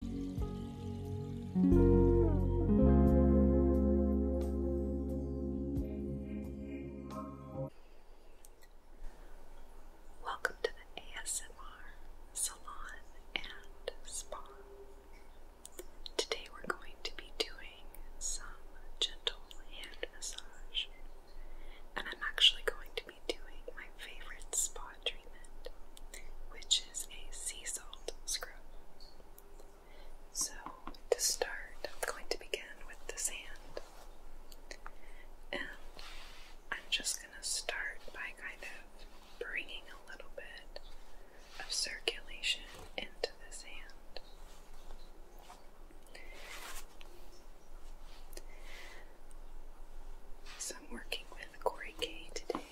Welcome to the ASMR Salon and Spa. Today we're going to be doing some gentle hand massage, and I'm actually going to be doing my favorite spot which is a sea salt scrub. So, to start, I'm going to begin with the sand. And I'm just going to start by kind of bringing a little bit of circulation into the sand. So I'm working with Corey K today,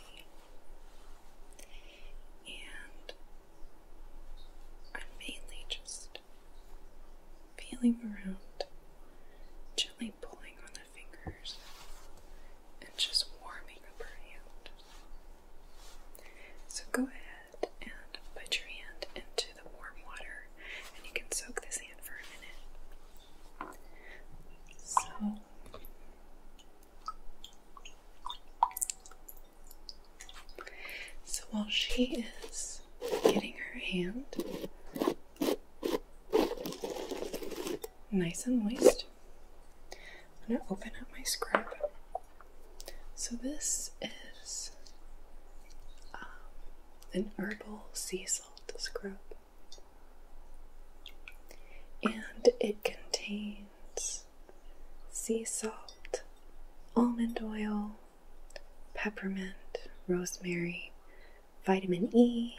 and I'm mainly just feeling around, gently pulling on the fingers, and just warming up her hand. So go ahead and put your hand into the warm water, and you can soak this hand for a minute. So, so while she is getting her hand nice and moist, I'm going to open up my scrub. So this is um, an herbal sea salt scrub and it contains sea salt, almond oil, peppermint, rosemary, vitamin E,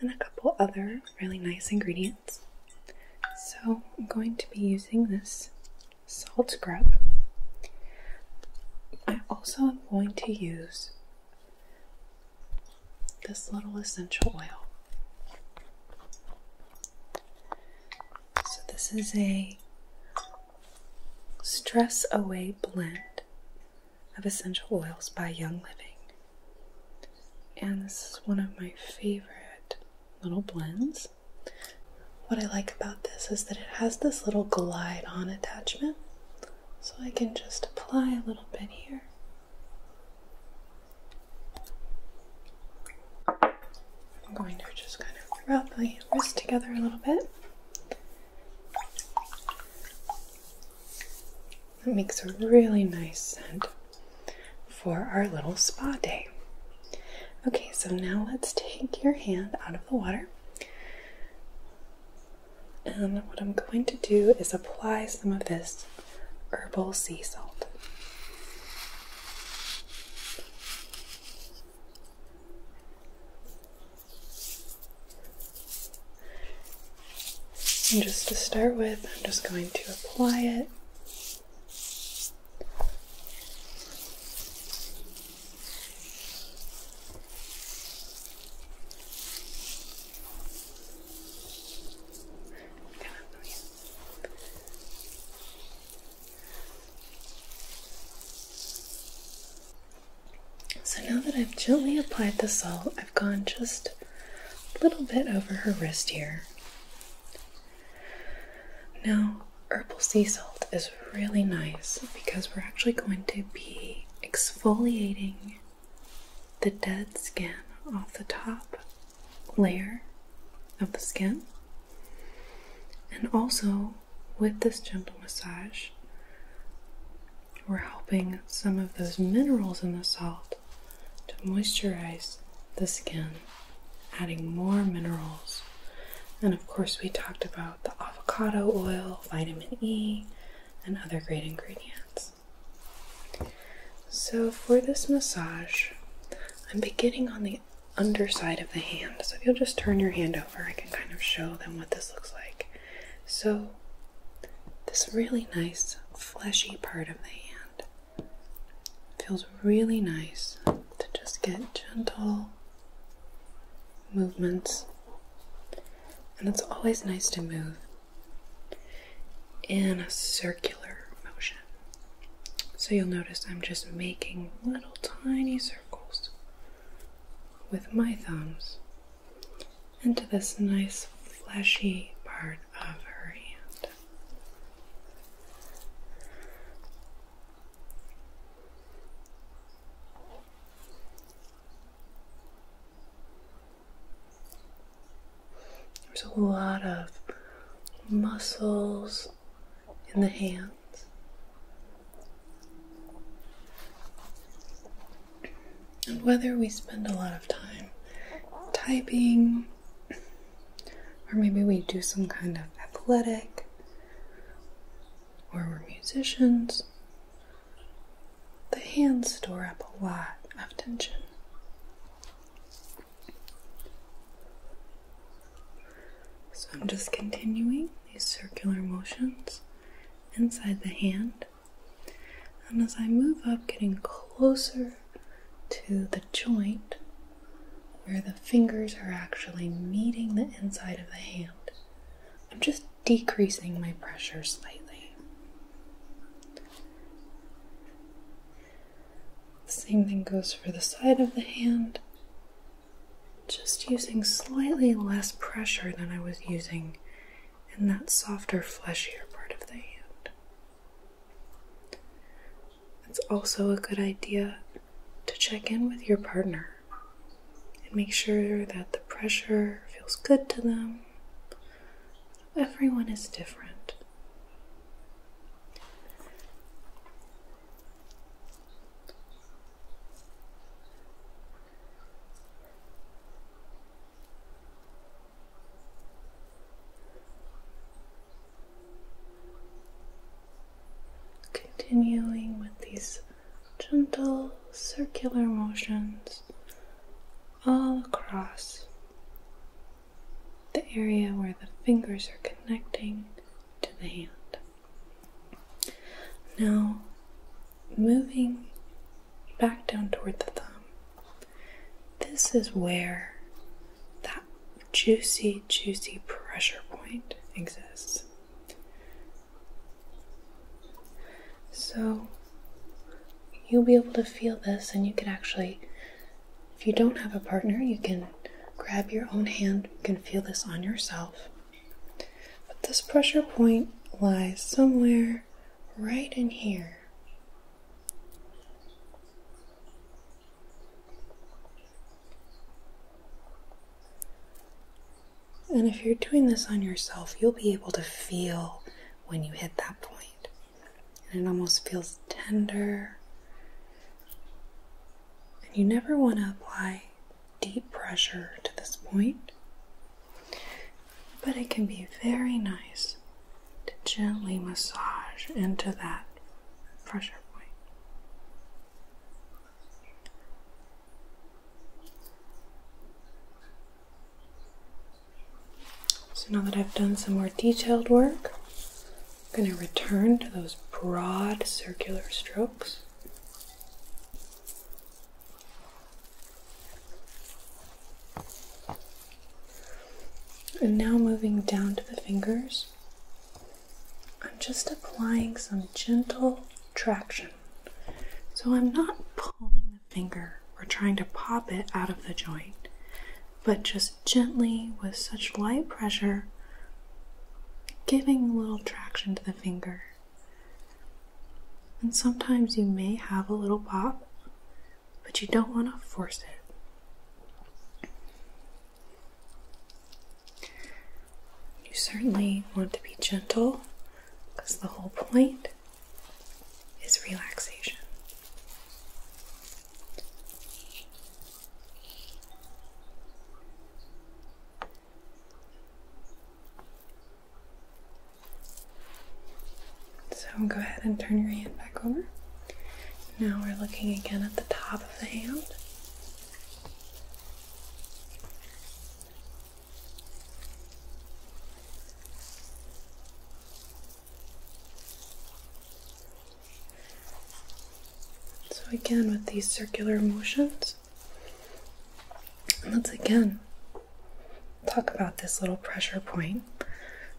and a couple other really nice ingredients. So, I'm going to be using this salt scrub. I also am going to use this little essential oil. So, this is a stress away blend of essential oils by Young Living. And this is one of my favorite little blends. What I like about this is that it has this little glide on attachment, so I can just apply a little bit here I'm going to just kind of rub the wrists together a little bit. That makes a really nice scent for our little spa day. Okay, so now let's take your hand out of the water. And what I'm going to do is apply some of this herbal sea salt. And just to start with, I'm just going to apply it. So now that I've gently applied the salt, I've gone just a little bit over her wrist here. Now, herbal sea salt is really nice because we're actually going to be exfoliating the dead skin off the top layer of the skin. And also, with this gentle massage, we're helping some of those minerals in the salt to moisturize the skin, adding more minerals. And of course, we talked about the avocado oil, vitamin E, and other great ingredients. So, for this massage, I'm beginning on the underside of the hand. So, if you'll just turn your hand over, I can kind of show them what this looks like. So, this really nice fleshy part of the hand feels really nice to just get gentle movements. And it's always nice to move in a circular motion. So you'll notice I'm just making little tiny circles with my thumbs into this nice fleshy part of her hand. There's a lot of muscles in the hands. whether we spend a lot of time typing, or maybe we do some kind of athletic, or we're musicians, the hands store up a lot of tension. So I'm just continuing these circular motions inside the hand. And as I move up, getting closer to the joint where the fingers are actually meeting the inside of the hand, I'm just decreasing my pressure slightly. The same thing goes for the side of the hand. Just using slightly less pressure than I was using in that softer, fleshier part of the hand. It's also a good idea to check in with your partner and make sure that the pressure feels good to them Everyone is different. Continuing with these gentle circular motions all across the area where the fingers are connecting to the hand. Now, moving back down toward the thumb, this is where that juicy, juicy pressure point exists. So, you'll be able to feel this, and you can actually if you don't have a partner, you can grab your own hand. You can feel this on yourself. But this pressure point lies somewhere right in here. And if you're doing this on yourself, you'll be able to feel when you hit that point and it almost feels tender. And you never want to apply deep pressure to this point, but it can be very nice to gently massage into that pressure point. So now that I've done some more detailed work, I'm going to return to those broad circular strokes. And now moving down to the fingers, I'm just applying some gentle traction. So I'm not pulling the finger or trying to pop it out of the joint, but just gently with such light pressure, giving a little traction to the finger. And sometimes you may have a little pop, but you don't want to force it. You certainly want to be gentle because the whole point is relaxation. So go ahead and turn your hand back over. Now we're looking again at the top of the hand. So again with these circular motions, let's again talk about this little pressure point.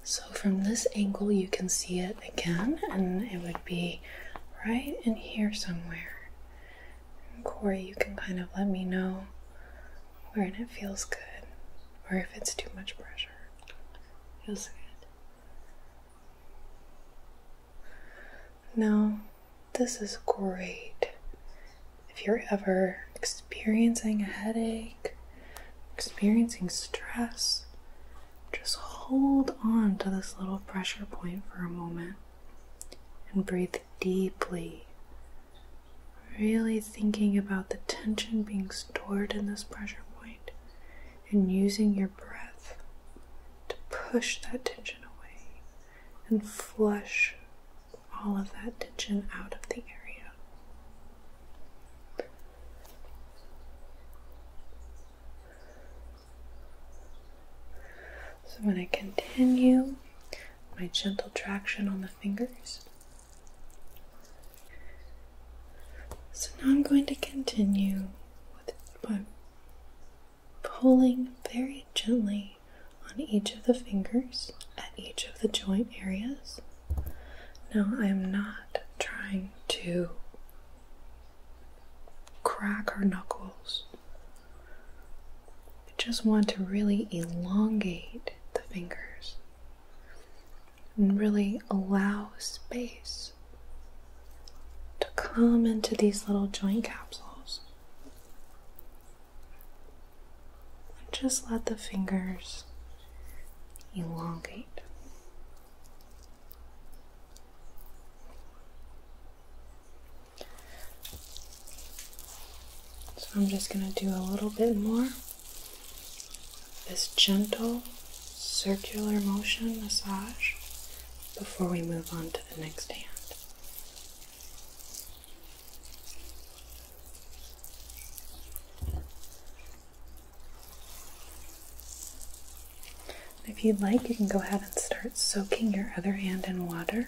So from this angle you can see it again and it would be right in here somewhere. Corey, you can kind of let me know where it feels good or if it's too much pressure. Feels good. Now, this is great if you're ever experiencing a headache, experiencing stress. Just hold on to this little pressure point for a moment and breathe deeply. Really thinking about the tension being stored in this pressure point and using your breath to push that tension away and flush all of that tension out of the area. So, I'm going to continue my gentle traction on the fingers. So now I'm going to continue by pulling very gently on each of the fingers at each of the joint areas. Now I am not trying to crack our knuckles. I just want to really elongate the fingers and really allow space to come into these little joint capsules. And just let the fingers elongate. So I'm just going to do a little bit more this gentle circular motion massage before we move on to the next hand. If you'd like, you can go ahead and start soaking your other hand in water.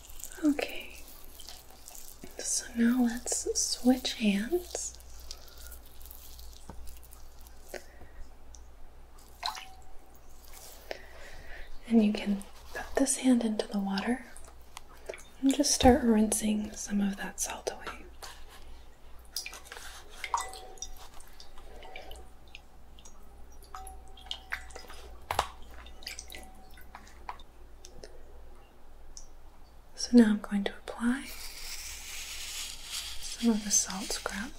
Okay, so now let's switch hands. And you can put this hand into the water and just start rinsing some of that salt away. So now I'm going to apply some of the salt scrub.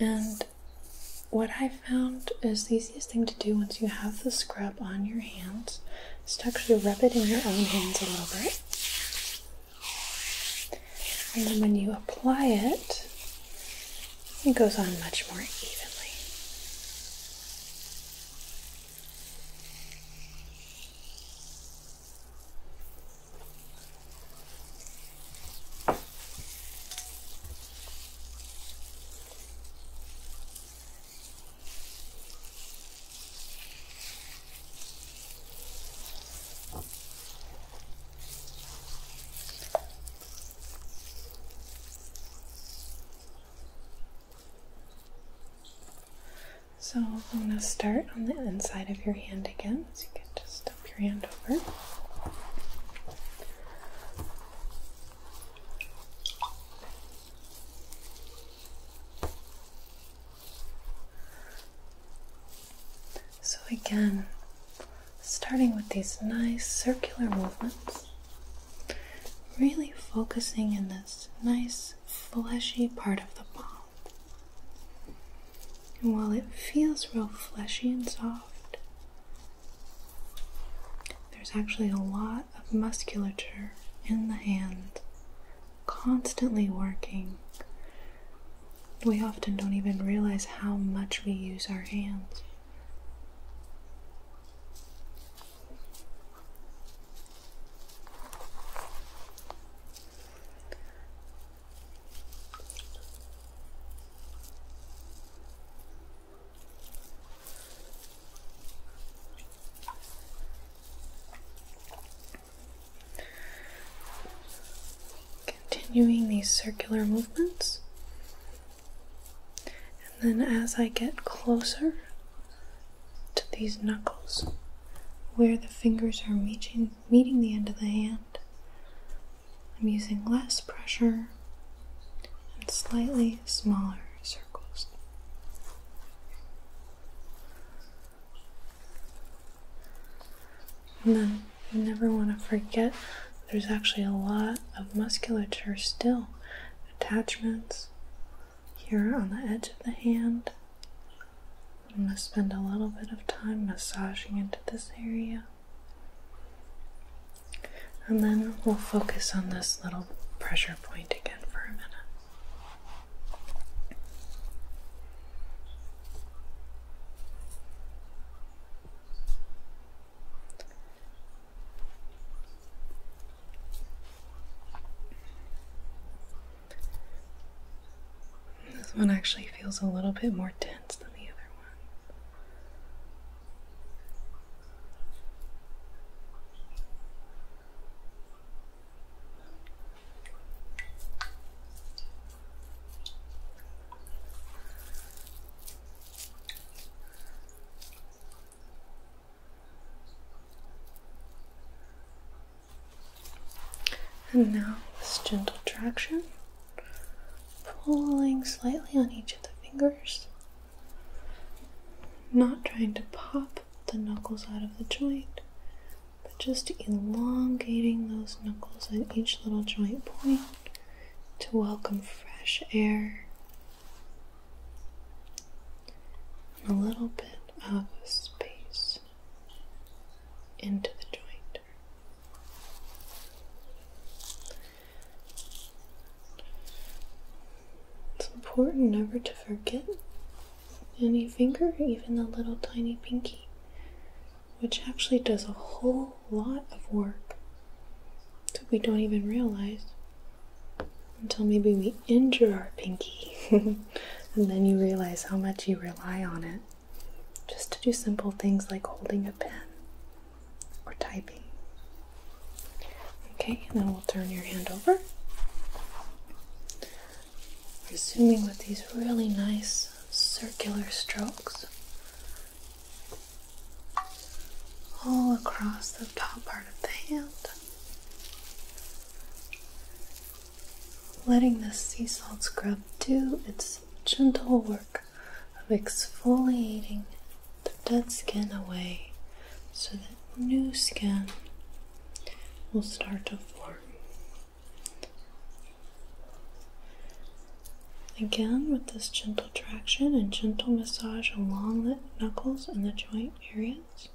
And what I found is the easiest thing to do once you have the scrub on your hands is to actually rub it in your own hands a little bit and then when you apply it, it goes on much more evenly. So I'm going to start on the inside of your hand again, so you can just step your hand over. So again, starting with these nice circular movements, really focusing in this nice fleshy part of the palm. And while it feels real fleshy and soft, there's actually a lot of musculature in the hand, constantly working we often don't even realize how much we use our hands continuing these circular movements. And then as I get closer to these knuckles, where the fingers are meeting, meeting the end of the hand, I'm using less pressure and slightly smaller circles. And then you never want to forget there's actually a lot of musculature still, attachments here on the edge of the hand. I'm going to spend a little bit of time massaging into this area. And then we'll focus on this little pressure point again for a minute. This one actually feels a little bit more dense than the other one. And now this gentle traction, pulling slightly on each of the fingers, not trying to pop the knuckles out of the joint, but just elongating those knuckles at each little joint point to welcome fresh air and a little bit of space into the joint. It's important never to forget any finger, even the little tiny pinky which actually does a whole lot of work that we don't even realize until maybe we injure our pinky and then you realize how much you rely on it just to do simple things like holding a pen or typing. Okay, and then we'll turn your hand over. Resuming with these really nice circular strokes all across the top part of the hand. Letting the sea salt scrub do its gentle work of exfoliating the dead skin away so that new skin will start to form. Again, with this gentle traction and gentle massage along the knuckles and the joint areas.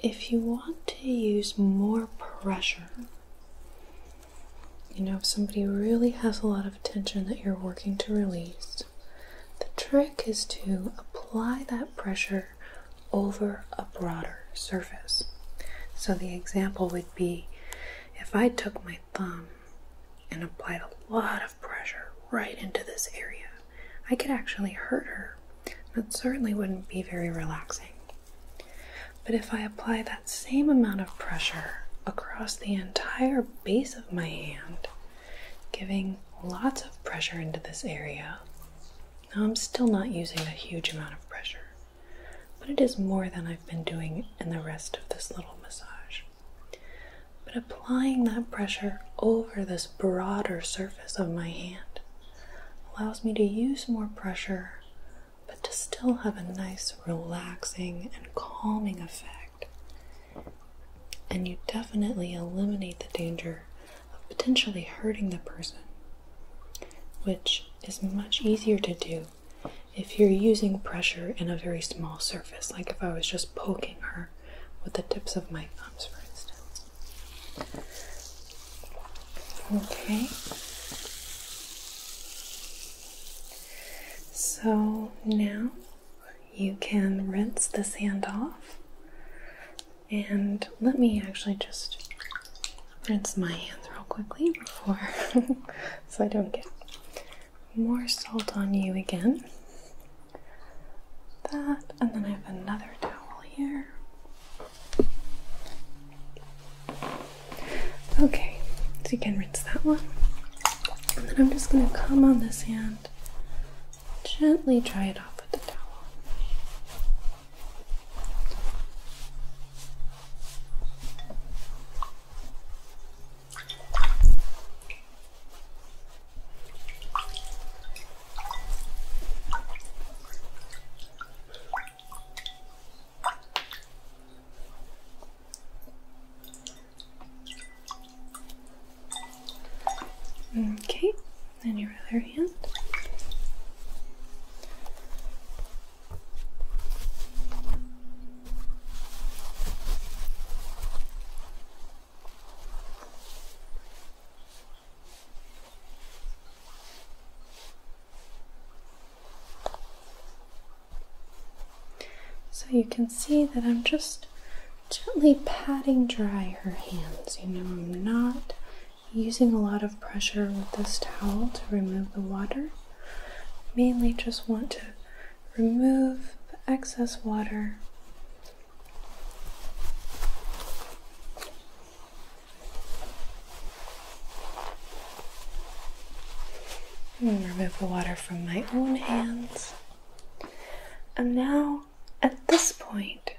If you want to use more pressure, you know, if somebody really has a lot of tension that you're working to release, the trick is to apply that pressure over a broader surface. So, the example would be if I took my thumb and applied a lot of pressure right into this area, I could actually hurt her. That certainly wouldn't be very relaxing. But if I apply that same amount of pressure across the entire base of my hand, giving lots of pressure into this area. Now, I'm still not using a huge amount of pressure, but it is more than I've been doing in the rest of this little massage. But applying that pressure over this broader surface of my hand allows me to use more pressure but to still have a nice relaxing and calming effect and you definitely eliminate the danger of potentially hurting the person, which is much easier to do if you're using pressure in a very small surface, like if I was just poking her with the tips of my thumbs, for instance. Okay. So now you can rinse the sand off. And let me actually just rinse my hands real quickly before so I don't get more salt on you again. That, and then I have another towel here. Okay, so you can rinse that one. And then I'm just going to come on the sand gently dry it off with a towel. Okay, and your other hand. So you can see that I'm just gently patting dry her hands. You know, I'm not using a lot of pressure with this towel to remove the water. Mainly just want to remove the excess water. And remove the water from my own hands. And now, at this point,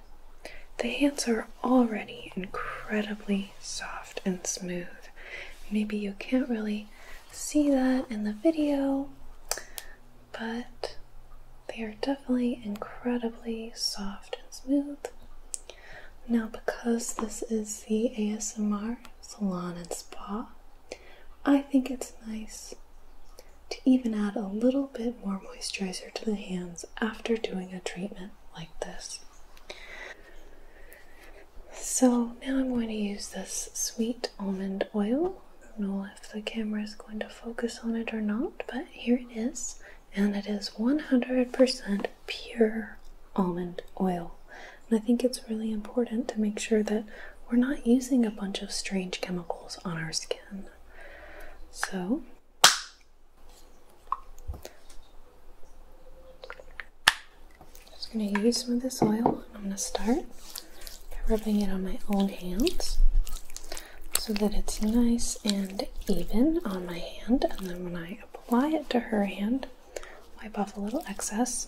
the hands are already incredibly soft and smooth. Maybe you can't really see that in the video, but they are definitely incredibly soft and smooth. Now, because this is the ASMR salon and spa, I think it's nice to even add a little bit more moisturizer to the hands after doing a treatment like this. So now I'm going to use this sweet almond oil. I don't know if the camera is going to focus on it or not, but here it is. And it is 100% pure almond oil. And I think it's really important to make sure that we're not using a bunch of strange chemicals on our skin. So, I'm just going to use some of this oil I'm going to start by rubbing it on my own hands so that it's nice and even on my hand. And then when I apply it to her hand, wipe off a little excess.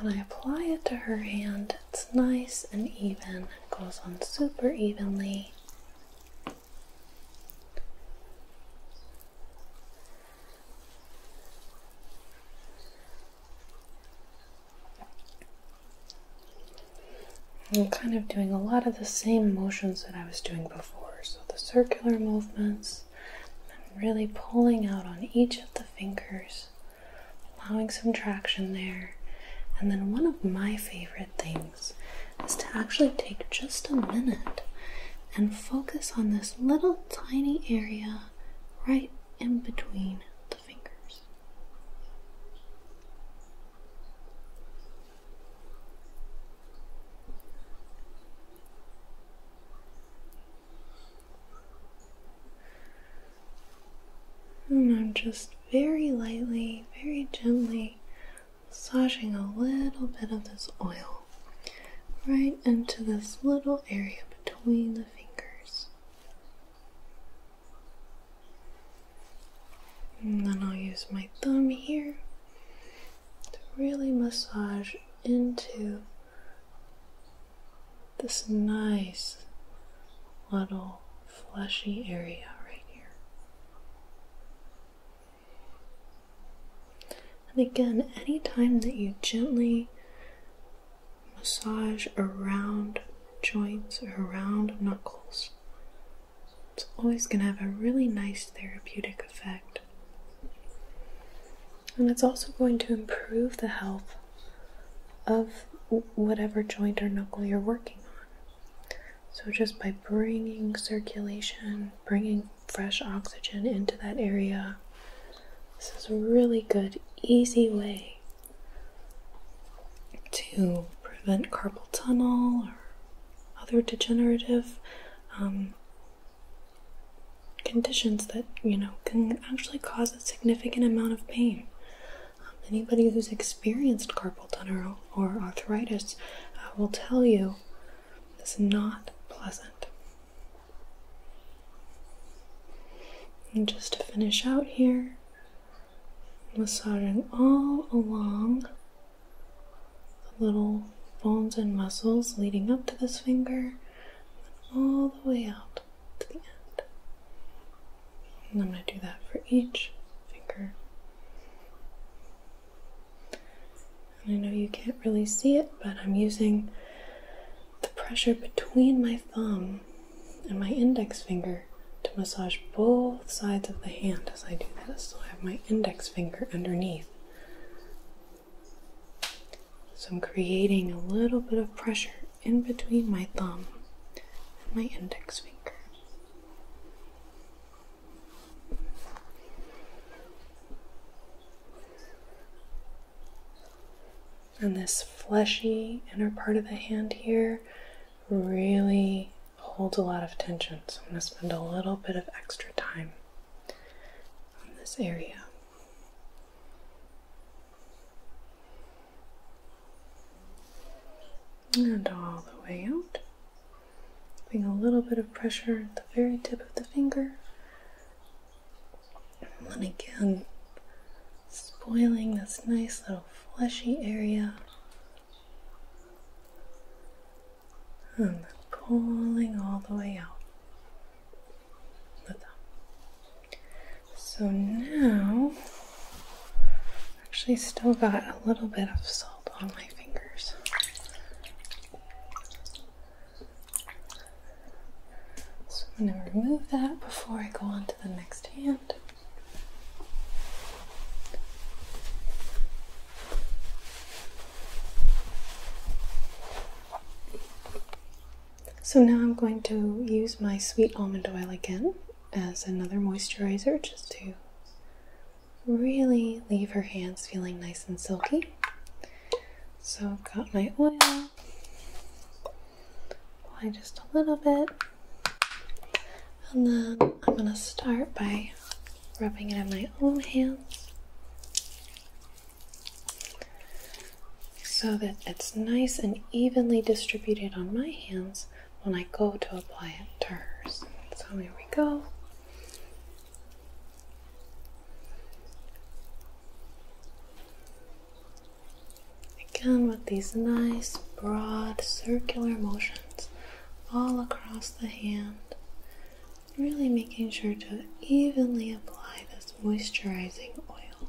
When I apply it to her hand, it's nice and even it goes on super evenly. I'm kind of doing a lot of the same motions that I was doing before. So the circular movements, I'm really pulling out on each of the fingers allowing some traction there. And then one of my favorite things is to actually take just a minute and focus on this little tiny area right in between the fingers. And I'm just very lightly, very gently massaging a little bit of this oil right into this little area between the fingers. And then I'll use my thumb here to really massage into this nice little fleshy area right here. And again, anytime that you gently massage around joints or around knuckles, it's always going to have a really nice therapeutic effect. And it's also going to improve the health of whatever joint or knuckle you're working on. So, just by bringing circulation, bringing fresh oxygen into that area, this is a really good, easy way to prevent carpal tunnel or other degenerative um, conditions that you know can actually cause a significant amount of pain anybody who's experienced carpal tunnel or arthritis uh, will tell you it's not pleasant. And just to finish out here, massaging all along the little bones and muscles leading up to this finger, all the way out. And I'm going to do that for each finger. I know you can't really see it, but I'm using the pressure between my thumb and my index finger to massage both sides of the hand as I do this. So I have my index finger underneath. So I'm creating a little bit of pressure in between my thumb and my index finger. And this fleshy inner part of the hand here really holds a lot of tension. So I'm going to spend a little bit of extra time on this area and all the way out. Putting a little bit of pressure at the very tip of the finger. And then again, spoiling this nice little fleshy area. And pulling all the way out. With them. So now, actually, still got a little bit of salt on my fingers. So I'm going to remove that before I go on to the next hand. So now I'm going to use my sweet almond oil again as another moisturizer just to really leave her hands feeling nice and silky. So I've got my oil, apply just a little bit, and then I'm going to start by rubbing it on my own hands so that it's nice and evenly distributed on my hands when I go to apply it to hers. So here we go. Again with these nice broad circular motions all across the hand, really making sure to evenly apply this moisturizing oil.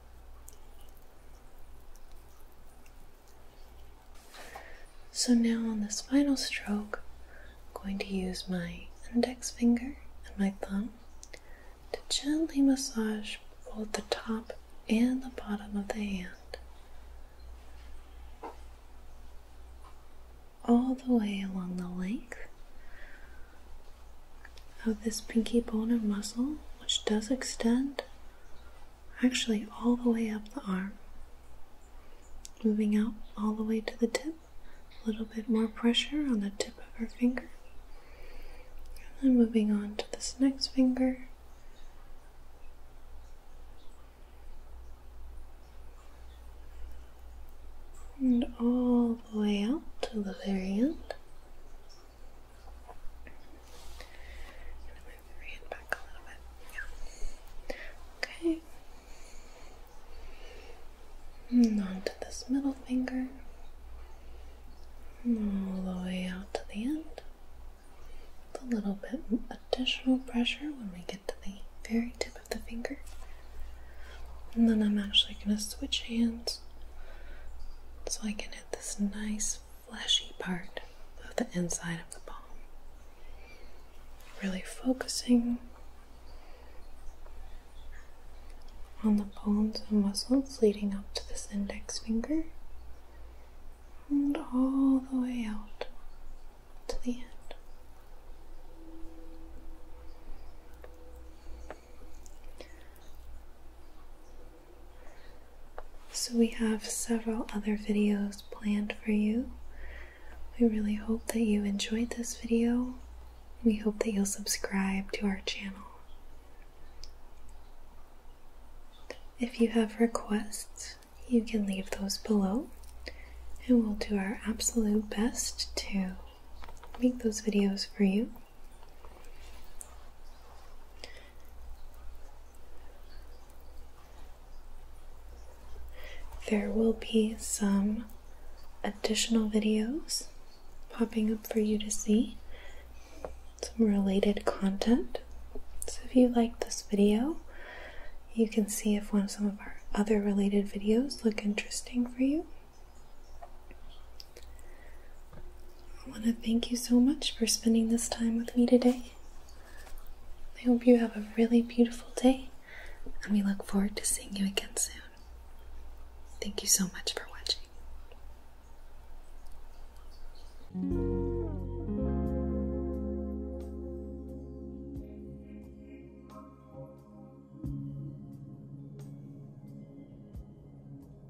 So now on this final stroke, I'm going to use my index finger and my thumb to gently massage both the top and the bottom of the hand. All the way along the length of this pinky bone and muscle, which does extend actually all the way up the arm. Moving out all the way to the tip, a little bit more pressure on the tip of our finger. And then moving on to this next finger. And all the way out to the very end gonna move your hand back a little bit. Yeah. Okay. And on this middle finger. All the way out to the end. With a little bit additional pressure when we get to the very tip of the finger. And then I'm actually going to switch hands so I can hit this nice fleshy part of the inside of the palm. Really focusing on the bones and muscles leading up to this index finger and all the way out to the end. So, we have several other videos planned for you. We really hope that you enjoyed this video. We hope that you'll subscribe to our channel. If you have requests, you can leave those below, and we'll do our absolute best to make those videos for you. There will be some additional videos popping up for you to see, some related content. So if you like this video, you can see if one of some of our other related videos look interesting for you. I want to thank you so much for spending this time with me today. I hope you have a really beautiful day, and we look forward to seeing you again soon. Thank you so much for watching.